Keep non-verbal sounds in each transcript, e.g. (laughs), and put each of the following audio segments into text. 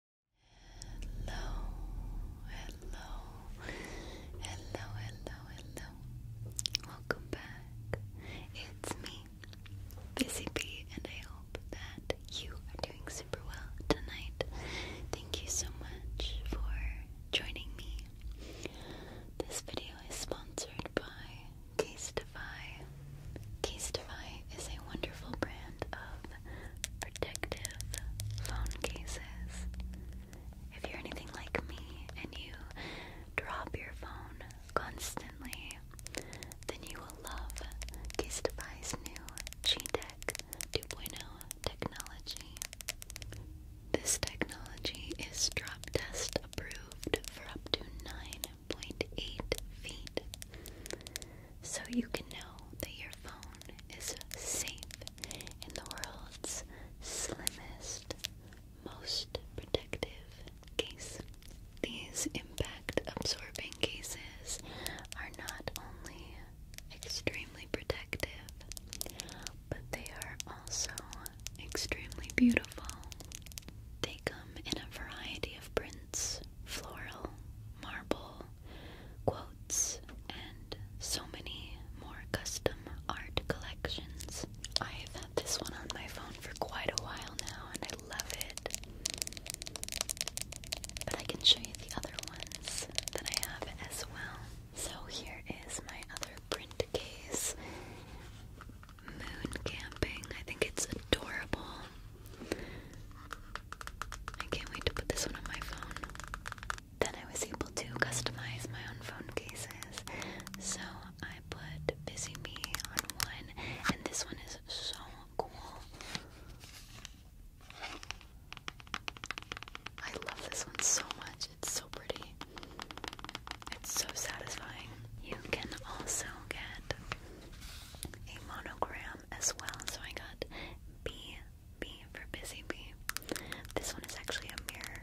Hello, hello, hello, hello, hello. Welcome back. It's me, Busy Bee, and I hope that you are doing super well tonight. Thank you so much for joining me. This video is sponsored by Casetify. Casetify is a wonderful brand of Predictive phone cases. If you're anything like me and you drop your phone constantly, then you will love Casetify's new G-Tech 2.0 technology. This technology is drop test approved for up to 9.8 feet so you can know that your phone is safe in the world's slimmest, most protective case. These impact absorbing cases are not only extremely protective, but they are also extremely beautiful. They come in a variety of prints ornaments, floral, marble, quotes, and so many more custom art collections. I've had this one on my phone for quite a while now and I love it. But I can show you the other ones that I have as well. So here is my other print case. Moon camping. I think it's adorable. I can't wait to put this one on my phone. Then I was able to customize my own phone cases. So I put Busy Me on one, and this one is so cool. I love this one so much. It's so pretty. It's so satisfying. You can also get a monogram as well. So I got B, B for busy bee. This one is actually a mirror.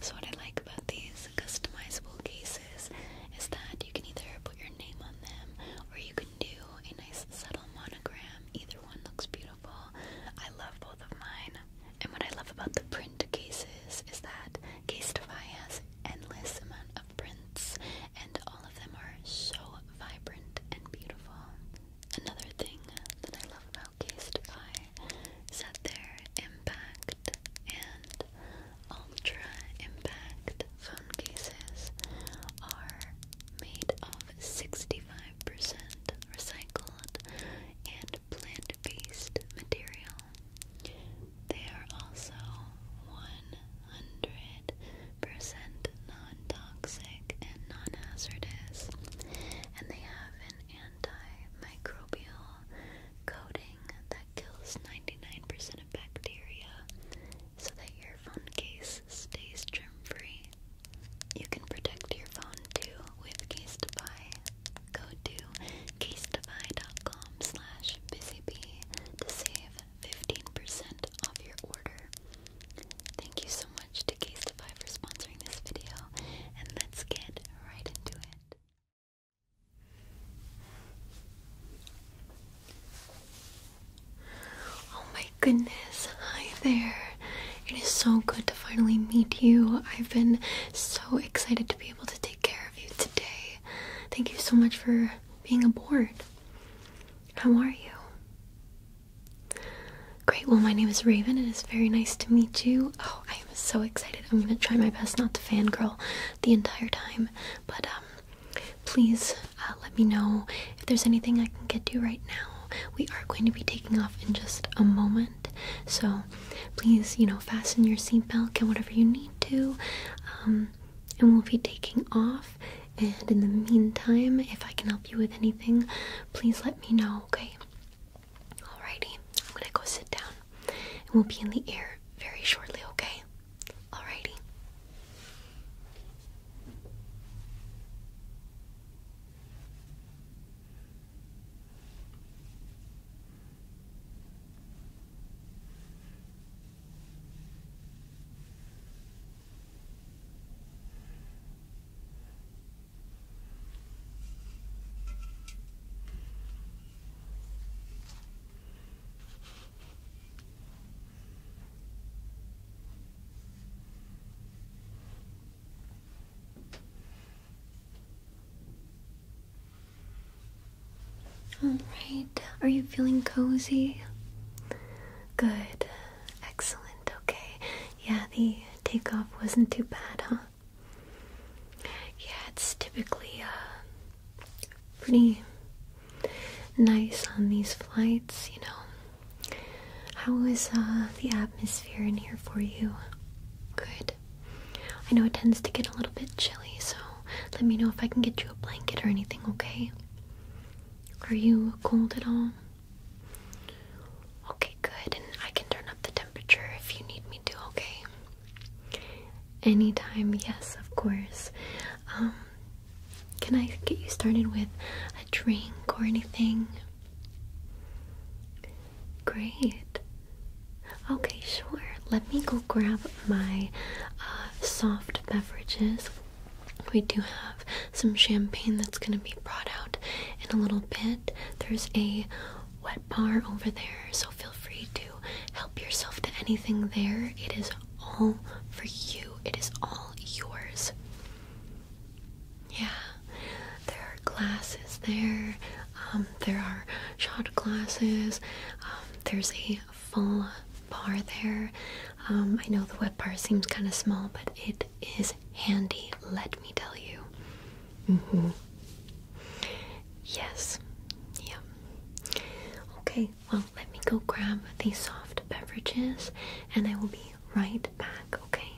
So what I like about these customizable cases is that you can either put your name on them or you can do a nice subtle monogram. Either one looks beautiful. I love both of mine. And what I love about the print cases is that Casetify has endless amount of prints and all of them are so vibrant and beautiful. Another thing that I love about Casetify is that their impact and ultra impact phone cases are made of 65% recycled and plant-based material. They are also one 100% non-toxic and non-hazardous and they have an antimicrobial coating that kills 99% of bacteria so that your phone case stays germ-free. You can protect your phone too with Casetify. Go to casetify.com slash busybee to save 15% off your order. Thank you so much to Castify for sponsoring this video, and let's get right into it. Oh my goodness, hi there. It is so good to finally meet you. I've been so excited to be able to take care of you today. Thank you so much for being aboard. How are you? Great, well, my name is Raven. It is very nice to meet you. Oh, I am so excited. I'm going to try my best not to fangirl the entire time, but um, please uh, let me know if there's anything I can get you right now. We are going to be taking off in just a moment, so please, you know, fasten your seatbelt and whatever you need to. Um, and we'll be taking off and in the meantime, if I can help you with anything, please let me know, okay? Alrighty, I'm gonna go sit down and we'll be in the air very shortly, okay? Alrighty. All right, are you feeling cozy? Good. Excellent. Okay. Yeah, the takeoff wasn't too bad, huh? Yeah, it's typically uh, pretty nice on these flights, you know. How is uh, the atmosphere in here for you? Good. I know it tends to get a little bit chilly, so let me know if I can get you a blanket or anything, okay? Are you cold at all? Okay, good. And I can turn up the temperature if you need me to, okay? Anytime, yes, of course. Um, can I get you started with a drink or anything? Great. Okay, sure. Let me go grab my uh, soft beverages, we do have some champagne that's going to be brought out in a little bit. There's a wet bar over there, so feel free to help yourself to anything there. It is all for you, it is all yours. Yeah, there are glasses there, um, there are shot glasses, um, there's a full bar there. Um, I know the wet bar seems kind of small, but it is handy, let me tell you. Mm -hmm. Yes. Yeah. Okay, well, let me go grab these soft beverages and I will be right back, okay?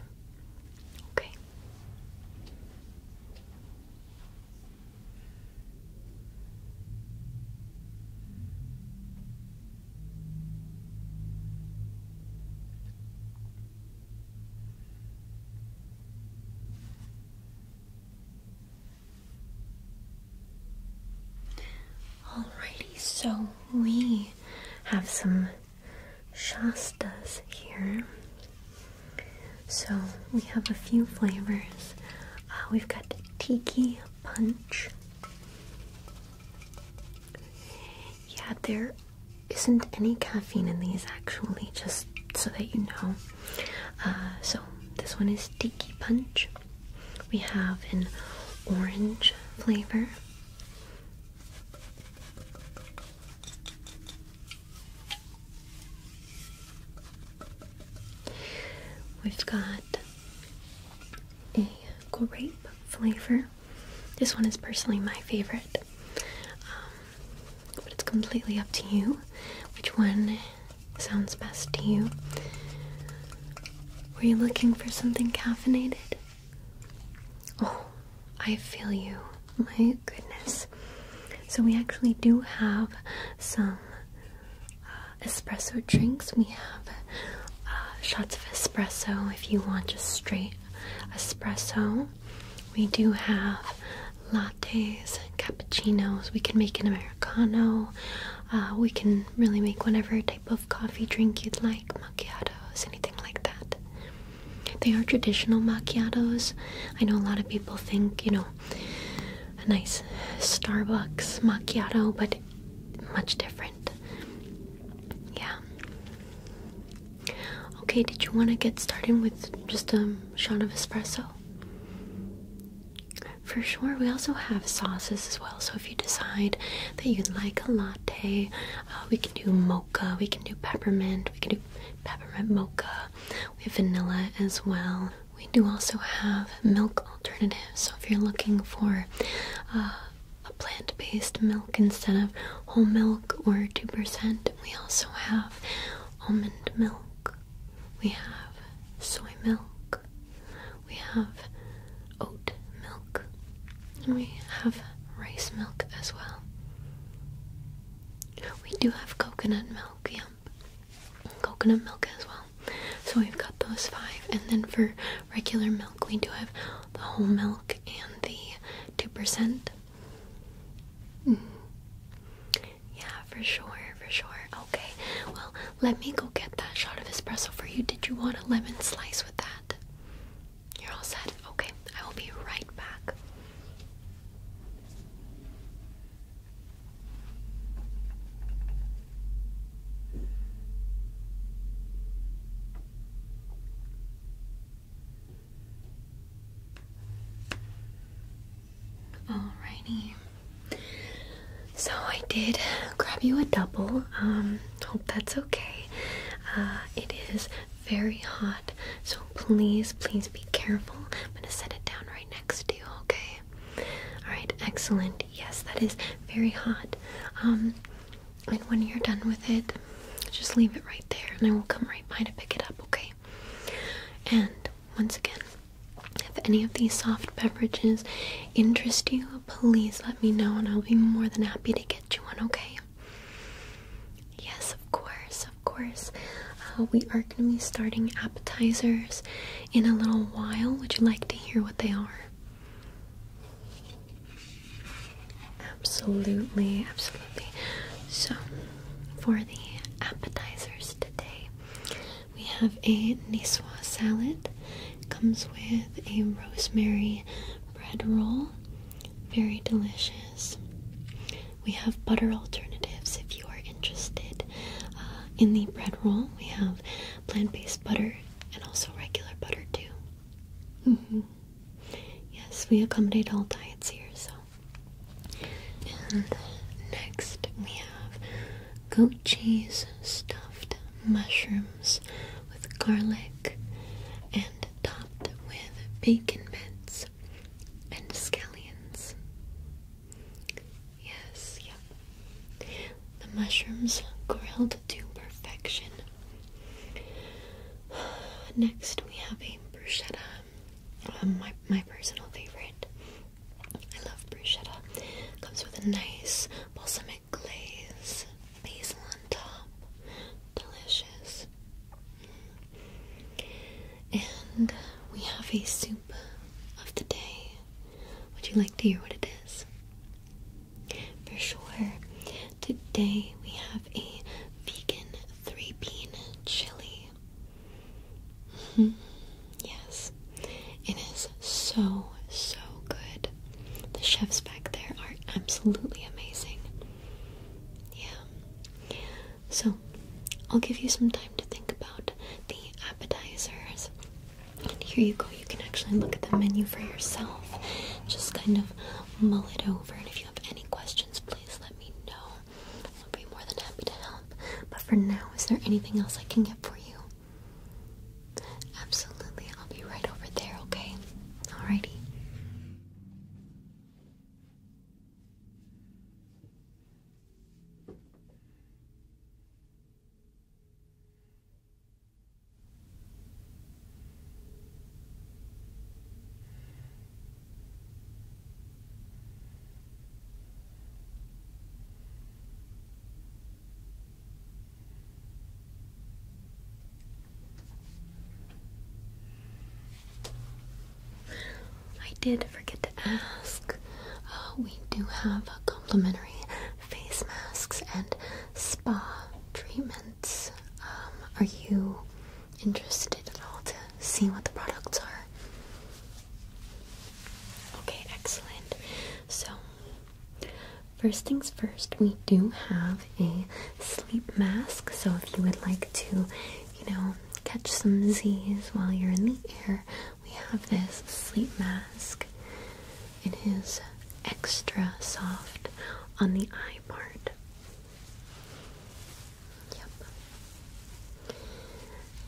Okay. Alrighty, so we have some Shastas here. So we have a few flavors. Uh, we've got Tiki Punch, yeah, there isn't any caffeine in these actually, just so that you know. Uh, so, this one is Tiki Punch. We have an orange flavor. We've got a grape flavor. This one is personally my favorite, um, but it's completely up to you which one sounds best to you. Were you looking for something caffeinated? Oh, I feel you. My goodness. So, we actually do have some uh, espresso drinks. We have uh, shots of espresso if you want just straight espresso. We do have lattes, cappuccinos. We can make an Americano. Uh, we can really make whatever type of coffee drink you'd like, macchiatos, anything like that. They are traditional macchiatos. I know a lot of people think, you know, a nice Starbucks macchiato, but much different. Yeah. Okay, did you want to get started with just a shot of espresso? For sure, we also have sauces as well. So if you decide that you'd like a latte, uh, we can do mocha, we can do peppermint, we can do peppermint mocha, we have vanilla as well. We do also have milk alternatives, so if you're looking for uh, a plant based milk instead of whole milk or 2%, we also have almond milk, we have soy milk, we have oat milk, we have rice milk as well. We do have coconut milk, coconut milk as well. So we've got those five, and then for regular milk, we do have the whole milk and the two percent. Mm. Yeah, for sure, for sure. Okay, well, let me go get that shot of espresso for you. Did you want a lemon slice with that? You're all set. Okay, I will be right back. Alrighty. So I did grab you a double. Um, hope that's okay. Uh, it is very hot, so please, please be careful. I'm gonna set it down right next to you, okay? Alright, excellent. Yes, that is very hot. Um, and when you're done with it, just leave it right there, and I will come right by to pick it up, okay? And once again, if any of these soft beverages interest you, please let me know, and I'll be more than happy to get you one, okay? Yes, of course, of course. Uh, we are going to be starting appetizers in a little while. Would you like to hear what they are? Absolutely, absolutely. So, for the appetizers today, we have a Niswa salad. comes with a rosemary bread roll. Very delicious. We have butter alternatives if you are interested. Uh, in the bread roll, we have plant-based butter and also regular butter too. Mm-hmm. Yes, we accommodate all diets here. So, next we have goat cheese stuffed mushrooms with garlic and topped with bacon bits and scallions. Yes, yep. The mushrooms grilled to perfection. (sighs) Next, we have a bruschetta. Um, my, my personal favorite. I love bruschetta. Comes with a nice balsamic glaze, basil on top. Delicious. And we have a soup of the day. Would you like to hear what it is? For sure. Today we have a vegan three bean chili. Mm-hmm. Yes, it is so, so good. The chefs back there are absolutely amazing. Yeah. So, I'll give you some time to think about the appetizers and here you go, you can actually look at the menu for yourself. Just kind of mull it over. And if you have any questions, please let me know. I'll be more than happy to help. But for now, is there anything else I can get for you? Absolutely, I'll be right over there, okay? Alrighty. I did forget ask. Uh, we do have complimentary face masks and spa treatments. Um, are you interested at all to see what the products are? Okay, excellent. So, first things first, we do have a sleep mask. So, if you would like to, you know, catch some Z's while you're in the air, we have this sleep mask. It is extra soft on the eye part. Yep.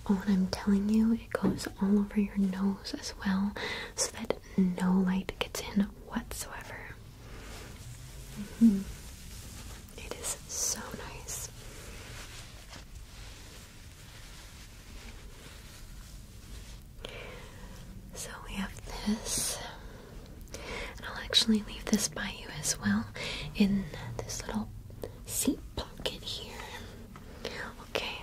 Oh, and I'm telling you, it goes all over your nose as well so that no light gets in whatsoever. Mm-hmm. It is so nice. So we have this, and I'll actually leave this by you as well in this little seat pocket here. Okay.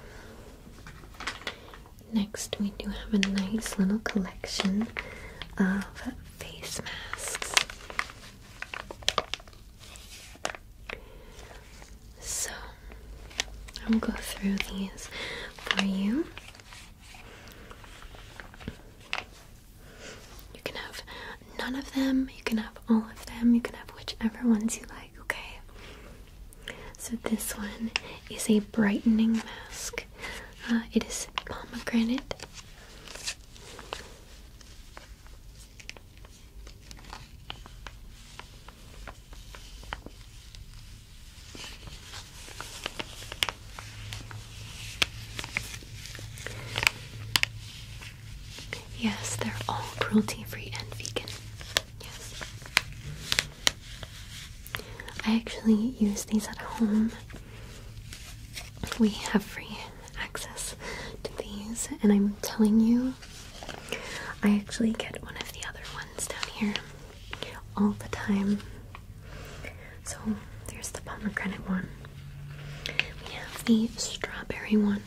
Next, we do have a nice little collection of face masks. So I'll go through these for you. You can have none of them, you can have all of them, you can have whichever ones you like, okay? So this one is a brightening mask. Uh, it is pomegranate. Yes, they're all cruelty free and vegan. Yes. I actually use these at home. We have free access to these, and I'm telling you, I actually get one of the other ones down here all the time. So there's the pomegranate one. We have the strawberry one.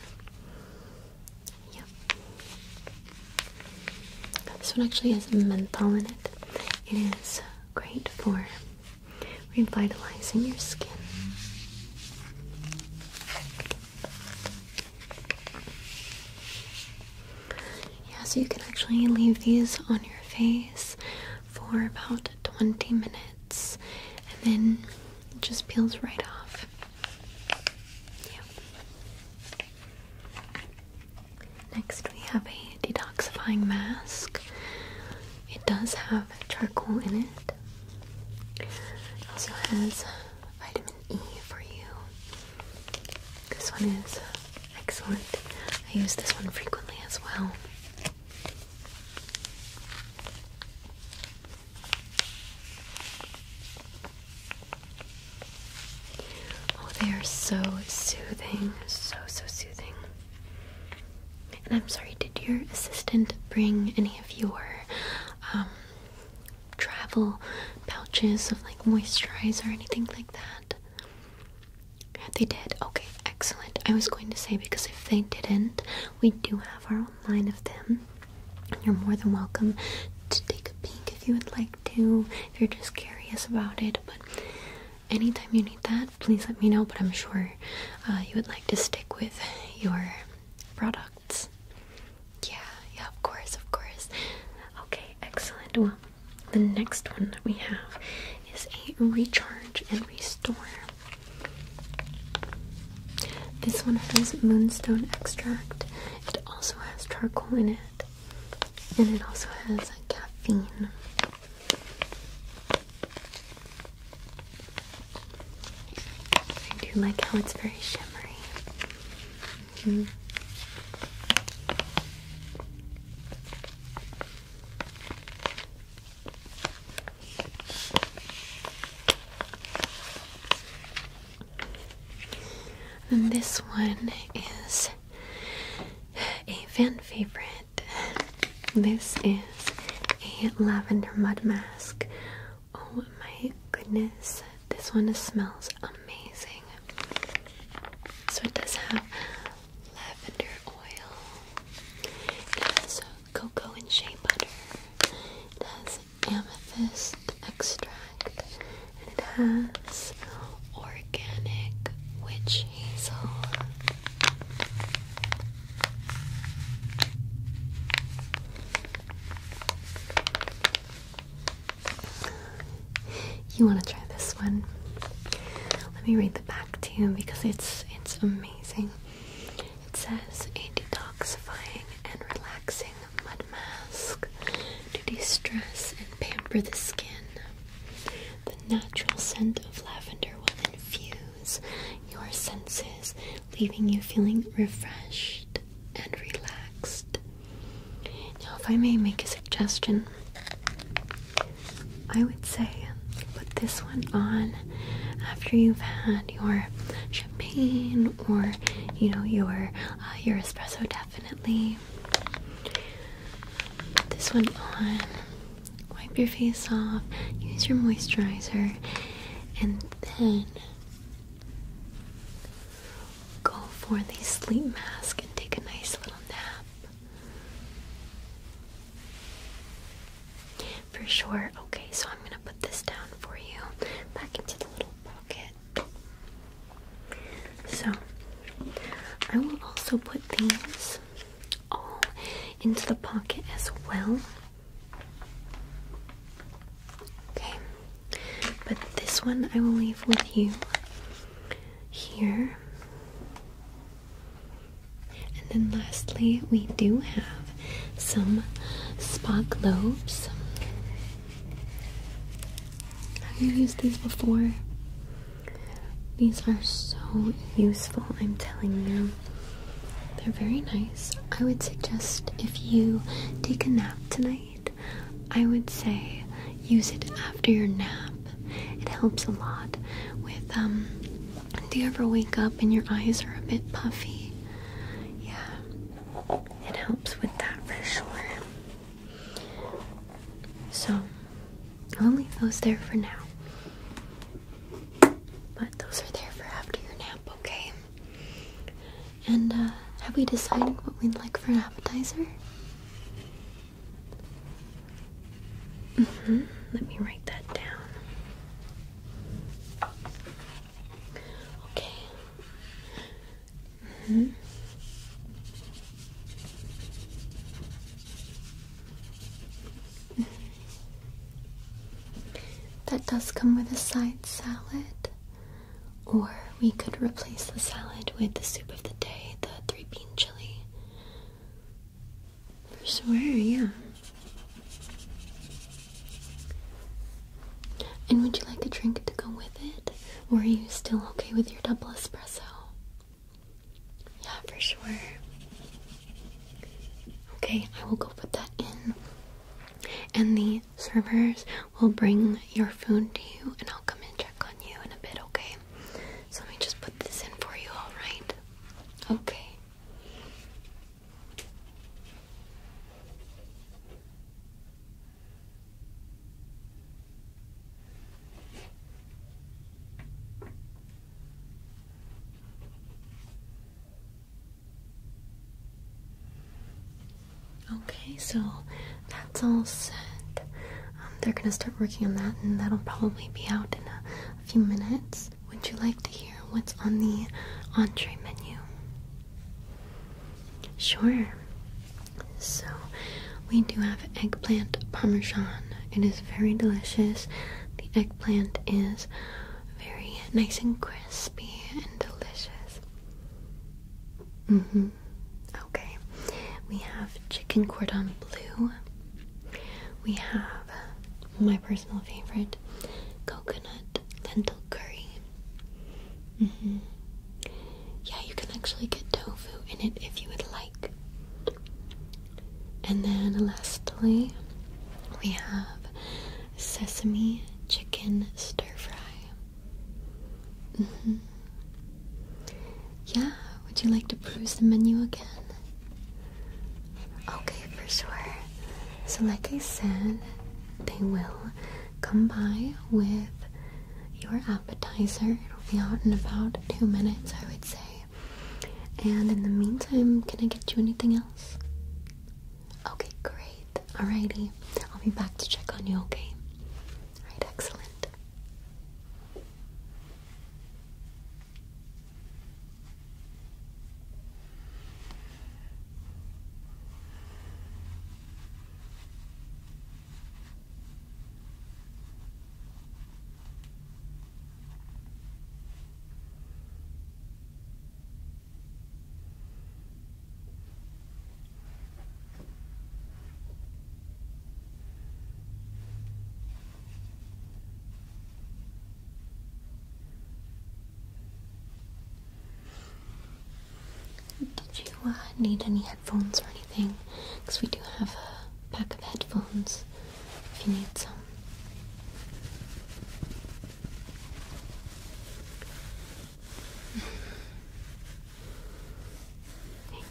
Yep. This one actually has menthol in it. It is great for revitalizing your skin. Yeah, so you can actually leave these on your face for about 20 minutes and then it just peels right off. Next, we have a detoxifying mask. It does have charcoal in it. It also has vitamin E for you. This one is excellent. I use this one frequently as well. Oh, they are so soothing, so so soothing. And I'm sorry, did your assistant bring any of your um, travel pouches of like moisturizer or anything like that? They did. Okay, excellent. I was going to say because if they didn't, we do have our own line of them. You're more than welcome to take a peek if you would like to, if you're just curious about it. But anytime you need that, please let me know. But I'm sure uh, you would like to stick with your product. Yeah, yeah, of course, of course. Okay, excellent. Well, the next one that we have is a recharge and restore. This one has moonstone extract. It also has charcoal in it, and it also has caffeine. I do like how it's very shimmery. Mm-hmm. And this one is a fan favorite. This is a lavender mud mask Oh my goodness, this one smells amazing. So it does have lavender oil, it has cocoa and shea butter, it has amethyst extract, and it has organic witch hazel. You want to try this one? Let me read the back to you because it's it's amazing. It says a detoxifying and relaxing mud mask to de-stress and pamper the skin. The natural scent of lavender will infuse your senses, leaving you feeling refreshed and relaxed. Now, if I may make a suggestion, I would say put this one on after you've had your champagne or you know your uh, your espresso definitely put this one on wipe your face off use your moisturizer and then Go for the sleep mask and take a nice little nap. For sure. Okay, so I'm gonna put this down for you back into the little pocket. So I will also put these all into the pocket as well. Okay, but this one I will leave with you here. And then lastly, we do have some spa globes. Have you used these before? These are so useful, I'm telling you. They're very nice. I would suggest if you take a nap tonight, I would say use it after your nap. It helps a lot with, um, do you ever wake up and your eyes are a bit puffy? Yeah, it helps with that for sure. So, I'll leave those there for now. But those are there for after your nap, okay? And uh, have we decided what we'd like for an appetizer? Mm-hmm. Let me write that down. Okay. hmm that does come with a side salad, or we could replace the salad with the soup of the day, the three bean chili. For sure, yeah. And would you like a drink to go with it? Or are you still okay with your double espresso? Yeah, for sure. Okay, I will go put that in and the servers will bring your food to you, and I'll come and check on you in a bit, okay? So let me just put this in for you, alright? Okay. Okay, so that's all set. Um, they're gonna start working on that, and that'll probably be out in a, a few minutes. Would you like to hear what's on the entree menu? Sure. So, we do have eggplant parmesan. It is very delicious. The eggplant is very nice and crispy and delicious. Mm-hmm. Okay. We have chicken cordon bleu. We have my personal favorite coconut lentil curry. Mm-hmm. Yeah, you can actually get tofu in it if you would like. And then lastly, we have sesame chicken stir fry. Mm-hmm. Yeah, would you like to peruse the menu again? Okay, for sure. So, like I said, they will come by with your appetizer. It'll be out in about two minutes, I would say. And in the meantime, can I get you anything else? Okay, great. Alrighty. I'll be back to check on you, okay? Alright, excellent. Did you uh, need any headphones or anything? Because we do have a pack of headphones if you need some.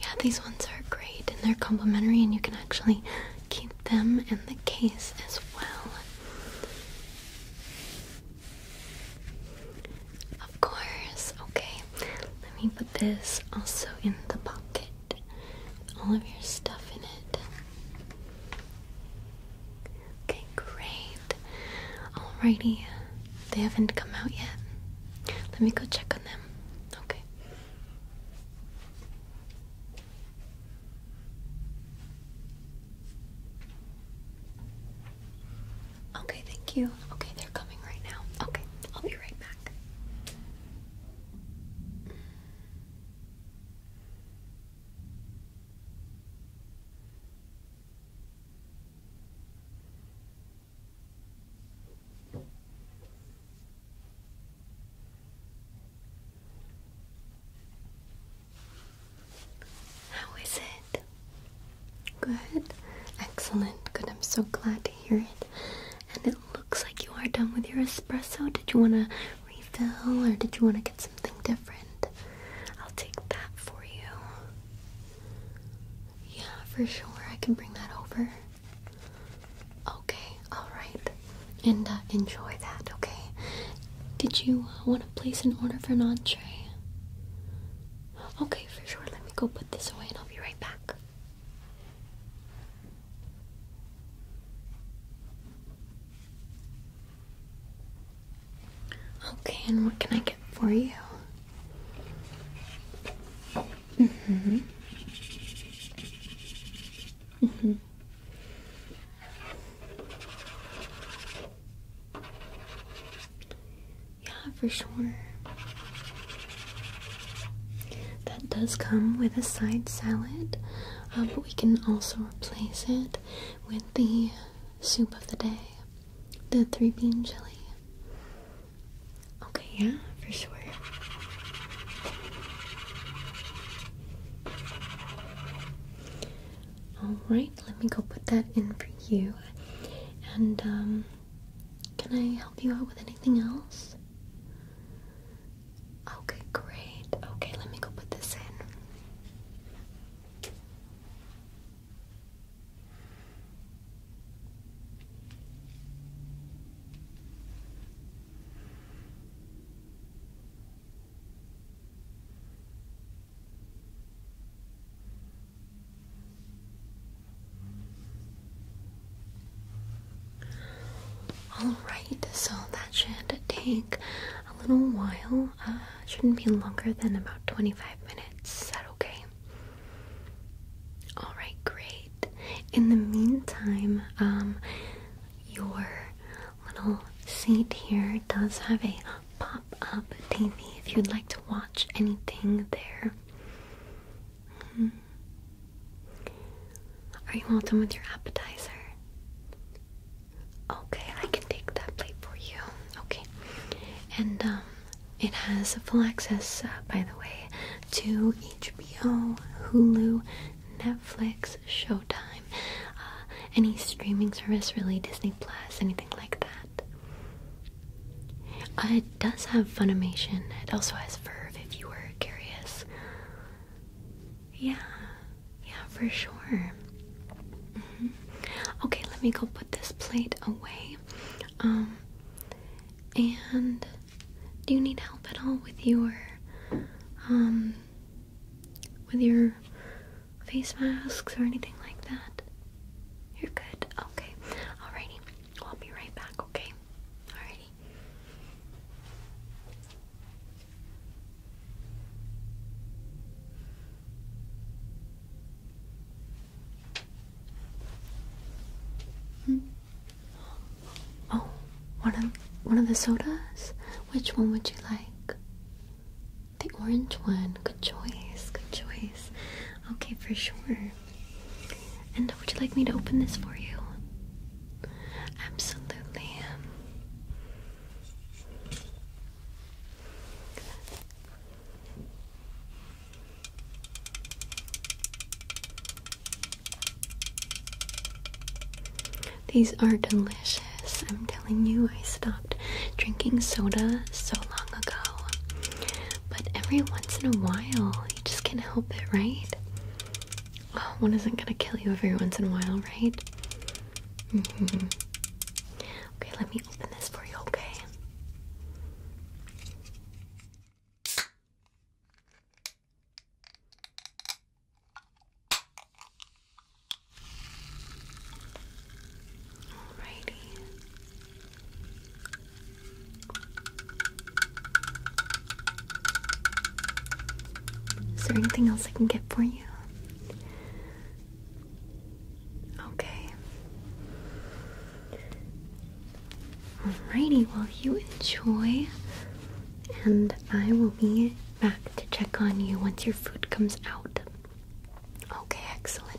Yeah, these ones are great and they're complimentary, and you can actually keep them in the case as well. Of course, okay. Let me put this also in the pocket all of your stuff in it. Okay, great. Alrighty, they haven't come out yet. Let me go check on them. Okay. Okay, thank you. Okay, they're coming right now. Okay, I'll be right back. How is it? Good. Excellent. Good. I'm so glad to hear it. And it looks like you are done with your espresso. Did you want to refill, or did you want to get something different? I'll take that for you. Yeah, for sure. I can bring that over. Okay, alright. And uh, enjoy that, okay? Did you uh, want to place an order for an entree? Okay, for sure. Let me go put this away and I'll be right back. Okay, and what can I get for you? Mm-hmm. Mm-hmm. Yeah, for sure. That does come with a side salad. Um, but we can also replace it with the soup of the day, the three bean chili. Okay, yeah, for sure. Alright, let me go put that in for you. And, um, can I help you out with anything else? Okay, great. Okay, let me go put this in. Alright, so that should take a little while. Uh, shouldn't be longer than about 25 minutes. Is that okay? Alright, great. In the meantime, um, your little seat here does have a pop up TV if you'd like to watch anything there. Hmm. Are you all done with your appetizer? Okay, I can take that plate for you. Okay. And um, it has full access, uh, by the way, to HBO, Hulu, Netflix, Showtime, uh, any streaming service, really, Disney Plus, anything like that. Uh, it does have Funimation. It also has Verve if you were curious. Yeah, yeah, for sure. Mm-hmm. Okay, let me go put this plate away. Um, and do you need help at all with your, um, with your face masks or anything like that? You're good. Okay. Alrighty. I'll be right back. Okay. Alrighty. Hmm. Oh, one of one of the sodas? Which one would you like? The orange one. Good choice. Good choice. Okay, for sure. And would you like me to open this for you? Absolutely. These are delicious. I'm telling you, I stopped drinking soda so long ago. But every once in a while, you just can't help it, right? (sighs) one isn't gonna kill you every once in a while, right? Mm-hmm. Okay, let me open this for you, okay? Alrighty. Is there anything else I can get for you? Okay. Alrighty, well, you enjoy, and I will be back to check on you once your food comes out. Okay, excellent.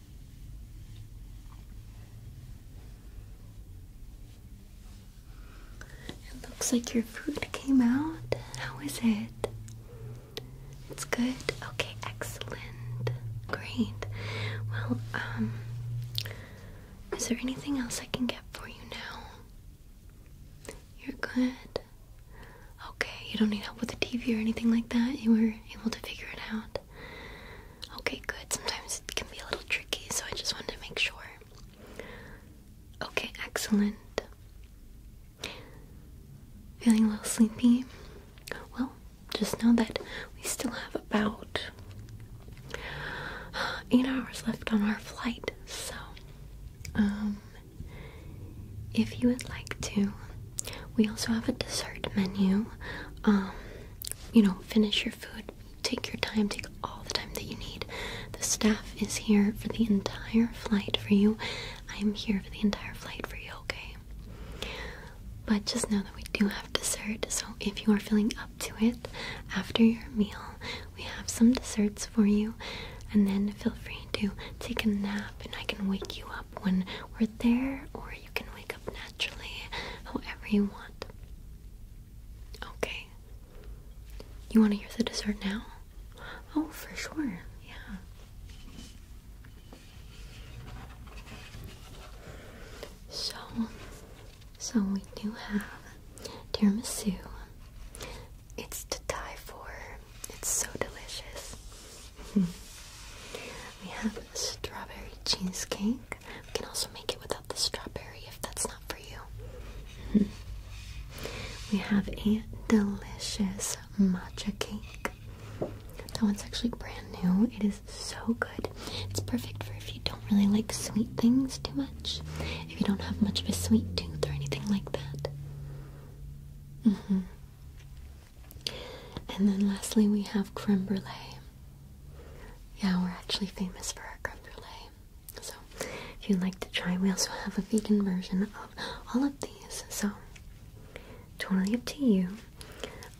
It looks like your food came out. How is it? It's good? Okay, excellent. Great. Well, um, is there anything else I can get for you now? You're good? Okay, you don't need help with the TV or anything like that? You were able to figure it out? Okay, good. Sometimes it can be a little tricky, so I just wanted to make sure. Okay, excellent. Feeling a little sleepy? Well, just know that we still have about (sighs) eight hours left on our flight, so um if you would like to, we also have a dessert menu. Um you know, finish your food. Take your time. Take all the time that you need. The staff is here for the entire flight for you. I am here for the entire flight for you, okay? But just know that we do have dessert, so if you are feeling up to it after your meal, we have some desserts for you. And then feel free to take a nap, and I can wake you up when we're there, or you can wake naturally, however you want. Okay. You want to hear the dessert now? Oh, for sure. Yeah. So, so we do have dear tiramisu. It's to die for. It's so delicious. (laughs) we have strawberry cheesecake. We can also make it without the strawberry if that's not for you. (laughs) we have a delicious matcha cake. That one's actually brand new. It is so good. It's perfect for if you don't really like sweet things too much. If you don't have much of a sweet tooth or anything like that. Mm-hmm. And then lastly, we have creme brulee. Yeah, we're actually famous for our crêpe brulee. So if you'd like to try, we also have a vegan version of all of these. So totally up to you.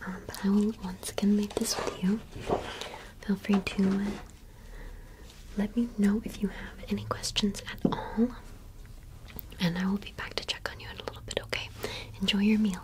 Um, but I will once again make this with you. Feel free to uh, let me know if you have any questions at all. And I will be back to check on you in a little bit, okay? Enjoy your meal.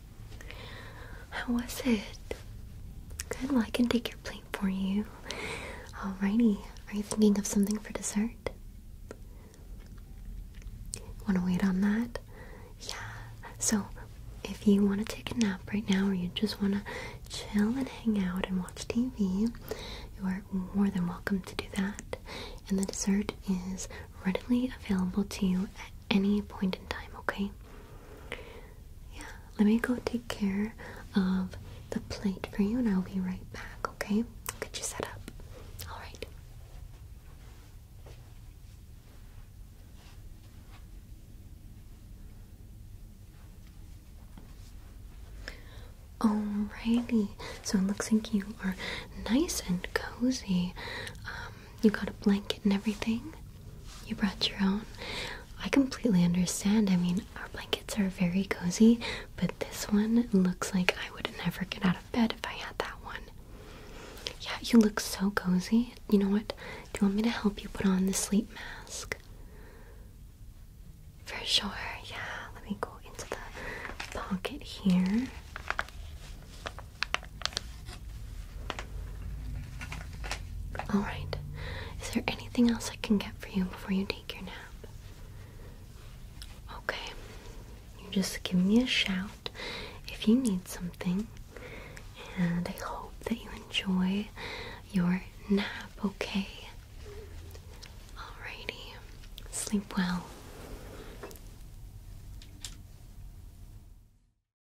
How was it? Good, well, I can take your plate for you. Alrighty, are you thinking of something for dessert? Want to wait on that? Yeah, so if you want to take a nap right now or you just want to chill and hang out and watch TV, you are more than welcome to do that. And the dessert is readily available to you at any point in time, okay? Yeah, let me go take care of the plate for you and I'll be right back, okay? I'll get you set up. Alright. Alrighty, so it looks like you are nice and cozy. Um, you got a blanket and everything. You brought your own. I completely understand. I mean, our blankets are very cozy, but this one looks like I would never get out of bed if I had that one. Yeah, you look so cozy. You know what? Do you want me to help you put on the sleep mask? For sure, yeah. Let me go into the pocket here. Alright, is there anything else I can get for you before you take your nap? Okay, you just give me a shout if you need something, and I hope that you enjoy your nap, okay? Alrighty, sleep well.